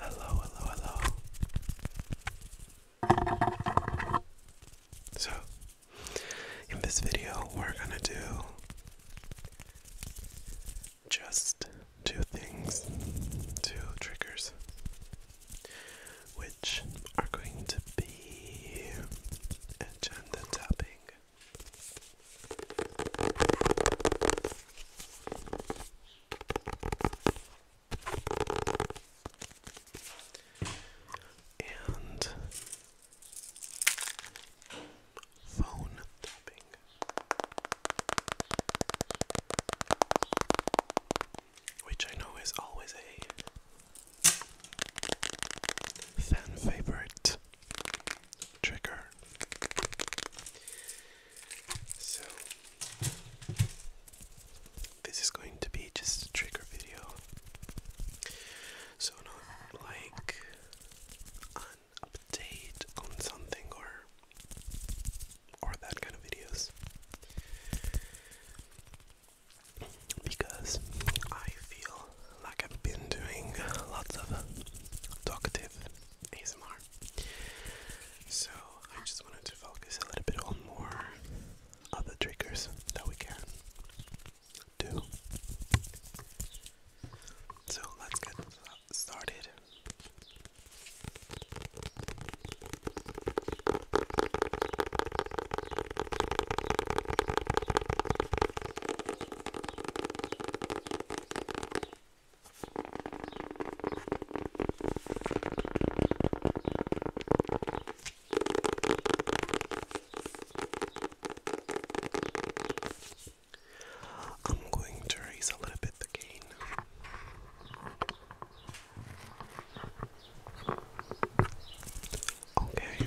Hello, hello, hello. So, in this video, we're gonna do just two things, two triggers, which are going to be agenda tapping and phone tapping. Which I know is always a fan favorite trigger. So, this is going to be just a trigger video. So, not like an update on something or or that kind of videos. Because I feel like I've been doing lots of talkative ASMR. So I just wanted to focus a little bit on more other triggers that we can do. So let's get started. I'm going to raise a little bit the gain. Okay.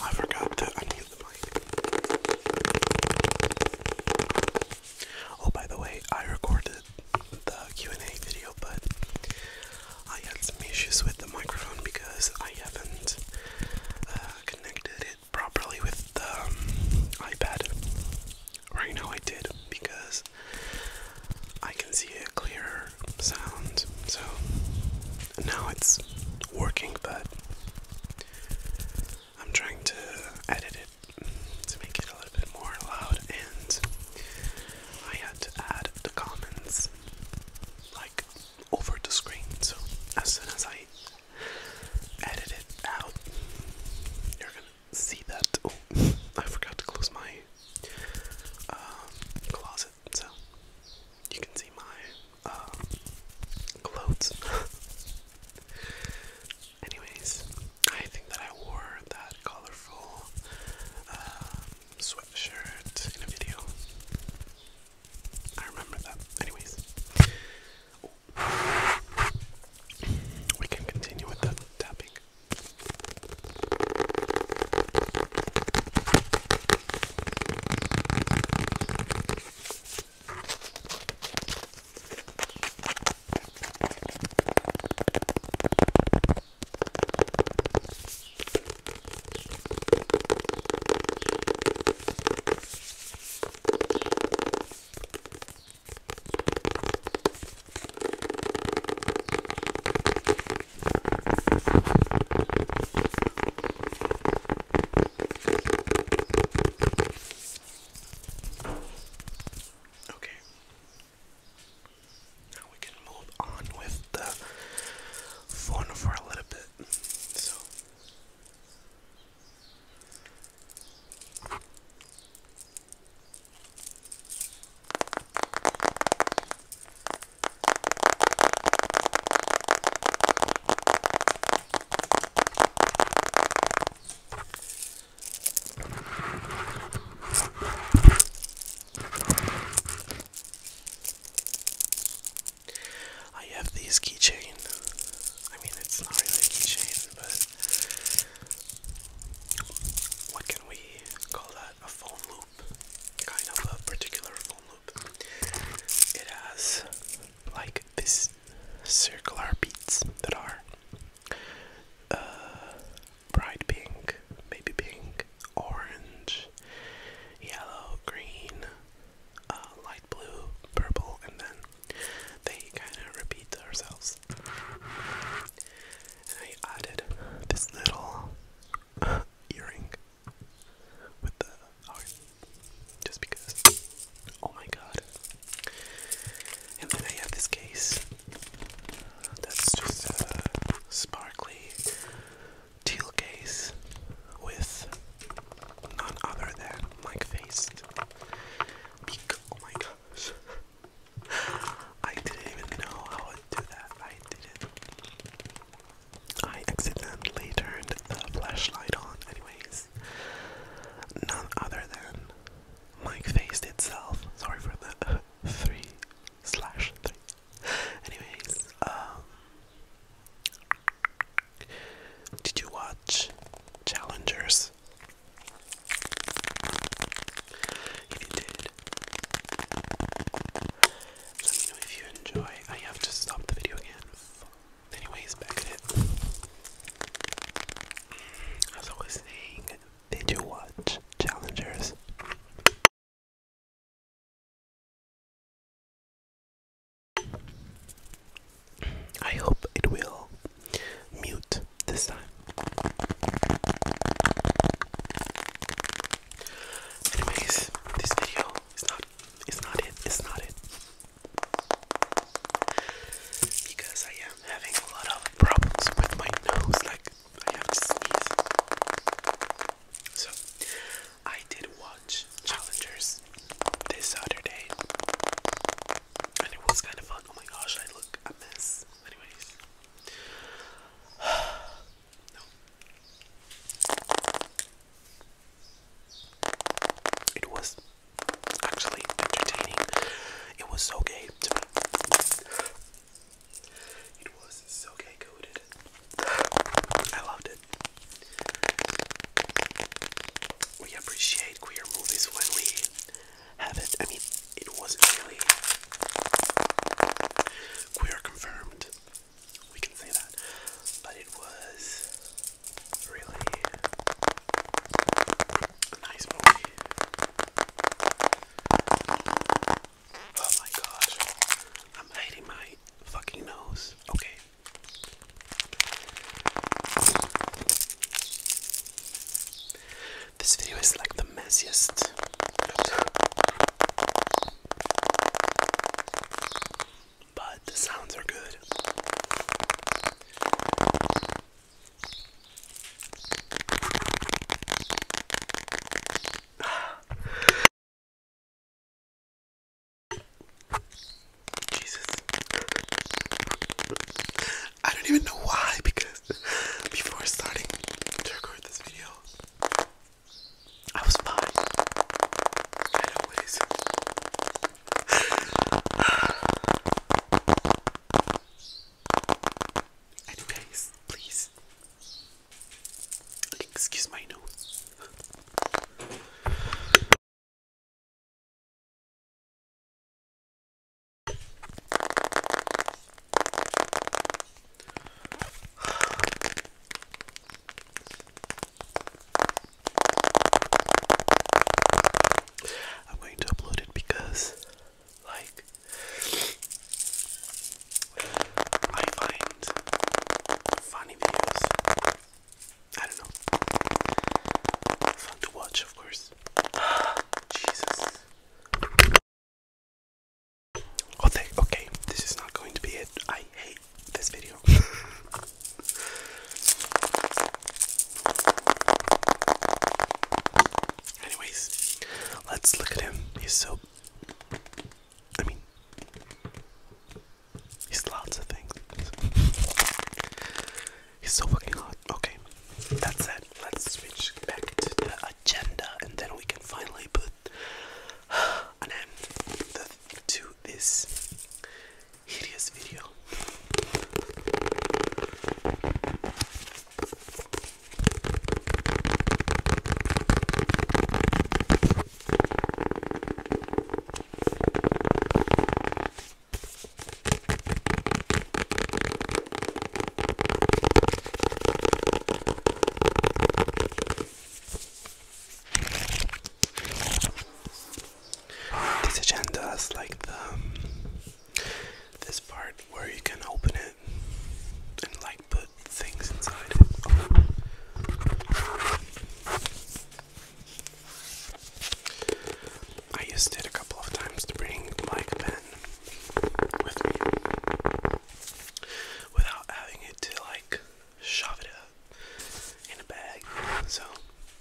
I forgot to unmute the mic. Oh, by the way, I recorded the Q&A video, but I had some issues with the microphone because I haven't uh, connected it properly with the um, iPad. Right now I did because I can see a clearer sound. So now it's working, but I'm trying to edit it to make it a little bit more loud, and I had to add the comments like over the screen. So as soon as I edit it out. You're gonna see that. Oh, I forgot to close my um, closet, so you can see my um, clothes. Anyways, I think that I wore that colorful um, sweatshirt in a video. I remember that. Anyways, we can continue with the tapping. Okay. Now we can move on with the phone for a little bit. So I have these keychain. I mean, it's not really a keychain but what can we call that? A foam loop, kind of a particular foam loop. It has like these circular beads that are uh, bright pink, maybe pink, orange, yellow, green, uh, blue, purple, and then they kind of repeat themselves. And I added this little earring with the heart just because. Oh my god. And then I have this case that's just a sparkly teal case with none other than Mike Faced. oh my gosh. I didn't even know how to do that. I didn't. I accidentally turned the flashlight on, anyways. None other than Mike Faced itself. Sorry for the three slash three. Anyways, um. Did you watch Challengers? If you did, let me know if you enjoy. I have to stop the video again. Anyways, back at it. As I was saying, did you watch Challengers? I hope it will mute this time. Anyways, this video is not it's not it's not it. Because I am having a lot of problems with my nose, like I have to sneeze. So I did watch Challengers this Saturday it was kind of fun. Oh my gosh, I look a mess. Anyways, no. It was actually entertaining. It was so gay to me. It was so gay coded. I loved it. We appreciate queer movies when we have it. I mean, it wasn't really queer confirmed. We can say that. But it was really nice movie. Oh my gosh. I'm hiding my fucking nose. Okay. This video is like the messiest. But the sounds are good. Jesus. I don't even know why because before starting to record this video, I was fine. I Anyways, please excuse my nose. I'm going to upload it because, like, I find funny videos I don't know. Fun to watch, of course. Jesus. Okay, okay, this is not going to be it. I hate this video. Anyways, let's look at him. He's so. I mean, he's lots of things. He's so fucking hot. Okay, that's it. Let's switch back to the agenda and then we can finally put an end to this hideous video. This agenda is like the um, this part where you can open it and like put things inside it. I used it a couple of times to bring my pen with me without having it to like shove it in a bag. So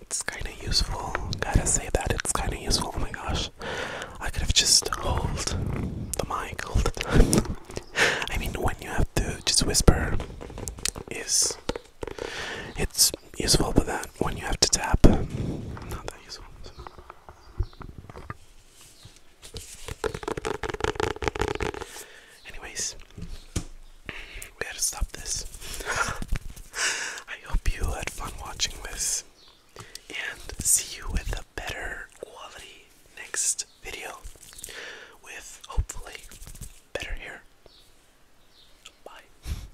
it's kind of useful. Gotta say that it's kind of useful. Oh my gosh, I could have just held the mic all the time. I mean, when you have to just whisper, is it's useful, but that when you have to tap, not that useful. Anyways, we had to stop this. I hope you had fun watching this, and see you with a better quality next video, with hopefully better hair. Bye.